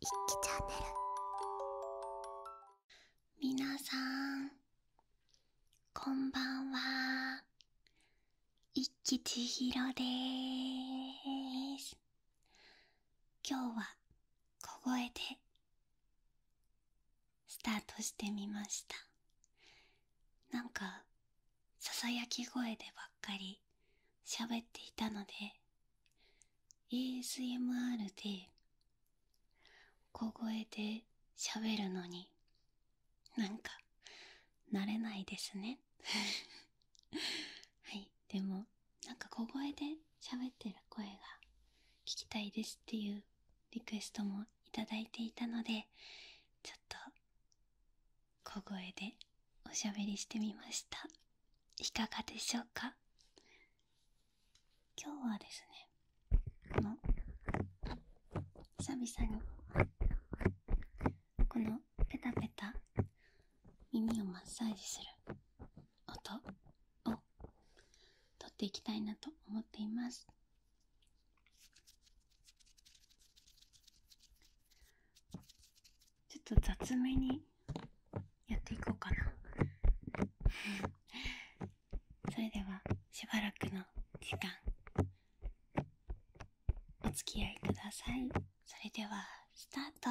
一輝チャンネル皆さんこんばんは一輝千尋です今日は小声でスタートしてみましたなんかささやき声でばっかり喋っていたので ASMR で小声で喋るのになんか慣れないですね はいでもなんか小声でしゃべってる声が聞きたいですっていうリクエストもいただいていたのでちょっと小声でおしゃべりしてみましたいかがでしょうか今日はですねこの久々にこのペタペタ耳をマッサージする音を撮っていきたいなと思っていますちょっと雑めにやっていこうかな それではしばらくの時間お付き合いくださいそれではスタート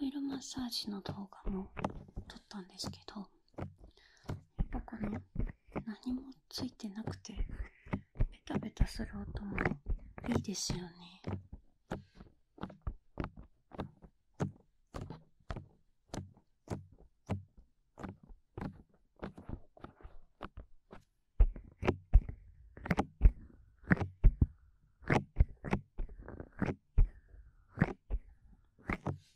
オイルマッサージの動画も撮ったんですけど、ここの何もついてなくてベタベタする音もいいですよねはい。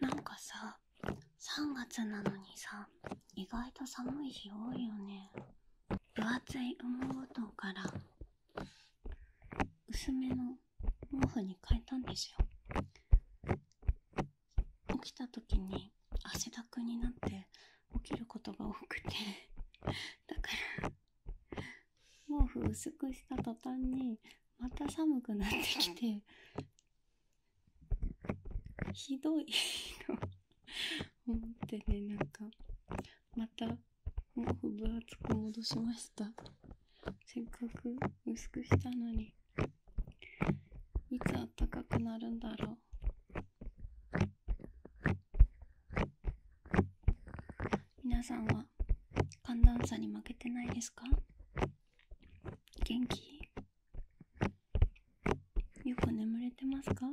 なんかさ3月なのにさ意外と寒い日多いよね分厚い羽毛布団から薄めの毛布に変えたんですよ起きた時に汗だくになって起きることが多くてだから毛布薄くした途端にまた寒くなってきてひどいと思ってねなんかまた毛布分厚く戻しましたせっかく薄くしたのにいつあったかくなるんだろう皆さんは寒暖差に負けてないですか元気よく眠れてますか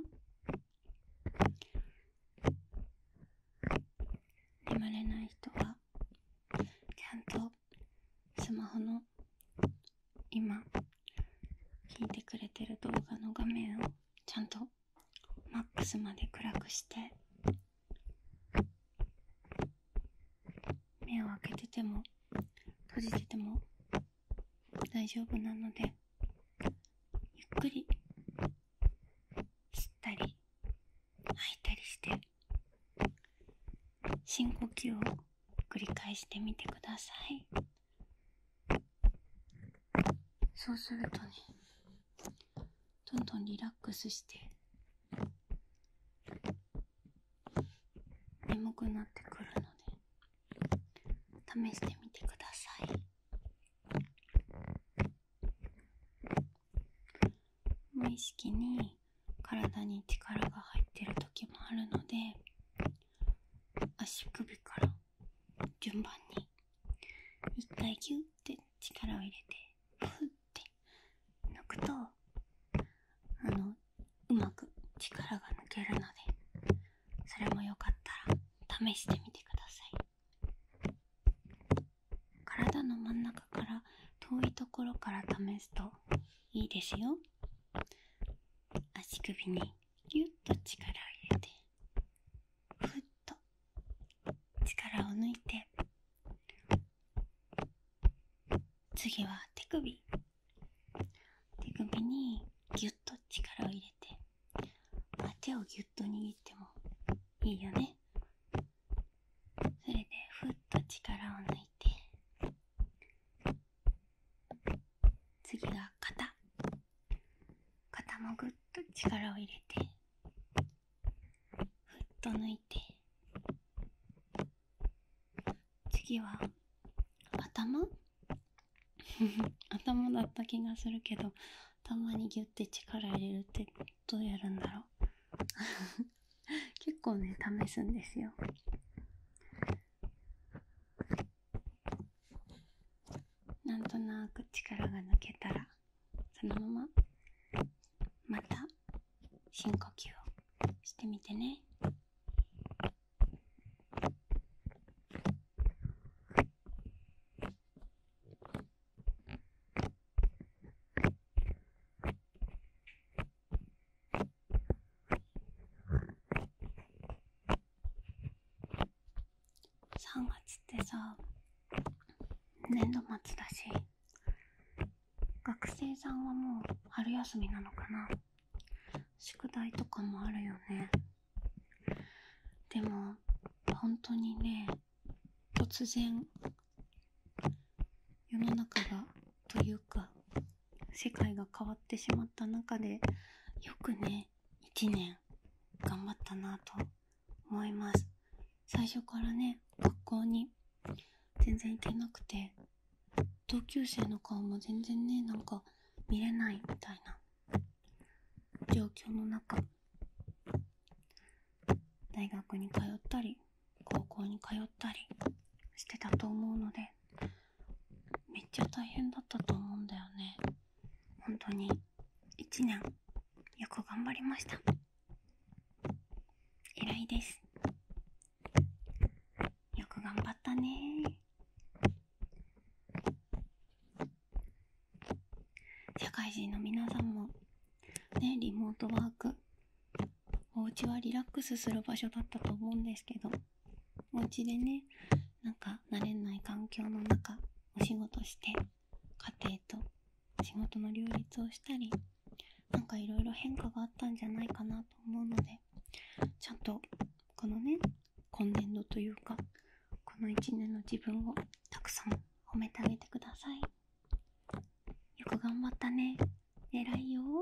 眠れない人はちゃんとスマホの今聞いてくれてる動画の画面をちゃんとマックスまで暗くして目を開けてても閉じてても大丈夫なのでゆっくり吸ったり吐いたりして深呼吸を繰り返してみてくださいそうするとねどんどんリラックスして眠くなってくるので試してみてください無意識に体に力が入ってる時もあるので足首から順番に一回ぎゅって力を入れてふって抜くとあのうまく力が抜けるのでそれもよかったら試してみてください体の真ん中から遠いところから試すといいですよ足首にぎゅっと力を入れてふっと力を抜いて次は手首手首にぎゅっと力を入れて手をぎゅっと握ってもいいよねそれでふっと力を抜いて次は肩肩もぐっと力を入れてふっと抜いて次は頭 頭だった気がするけど頭にギュッて力入れるってどうやるんだろう 結構ね試すんですよなんとなく力が抜けたらそのまままた深呼吸をしてみてね。3月ってさ年度末だし学生さんはもう春休みなのかな宿題とかもあるよねでも本当にね突然世の中がというか世界が変わってしまった中でよくね1年頑張ったなと思います。最初からね、学校に全然行けなくて、同級生の顔も全然ね、なんか見れないみたいな状況の中、大学に通ったり、高校に通ったりしてたと思うので、めっちゃ大変だったと思うんだよね。本当に、1年よく頑張りました。偉いです。よく頑張ったね社会人の皆さんも、ね、リモートワーク、お家はリラックスする場所だったと思うんですけど、お家でね、なんか慣れない環境の中、お仕事して、家庭と仕事の両立をしたりなんかいろいろ変化があったんじゃないかなと思うのでちゃんとこのね今年度というかこの1年の自分をたくさん褒めてあげてくださいよく頑張ったね偉いよ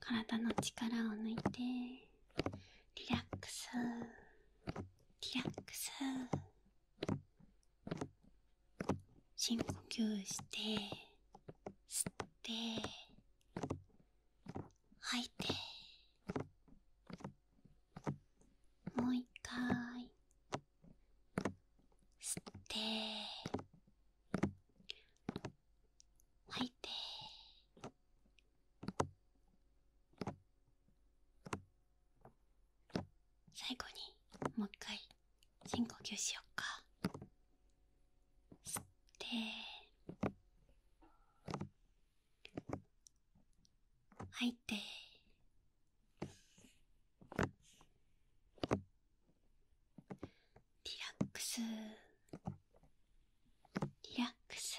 体の力を抜いてリラックスリラックス深呼吸して吸って吐いてもう一回吸って吐いて最後にもう一回深呼吸しよっか吸って吐いてリラックスリラックス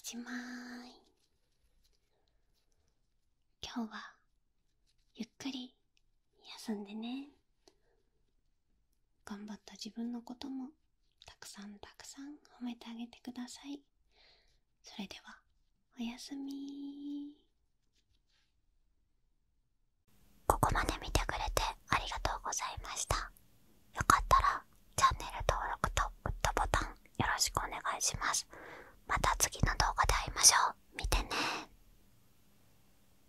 おしまーい今日はゆっくり休んでね頑張った自分のこともたくさんたくさん褒めてあげてくださいそれではおやすみここまで見てくれてありがとうございましたよかったらチャンネル登録とグッドボタンよろしくお願いしますまた次の動画で会いましょう見てね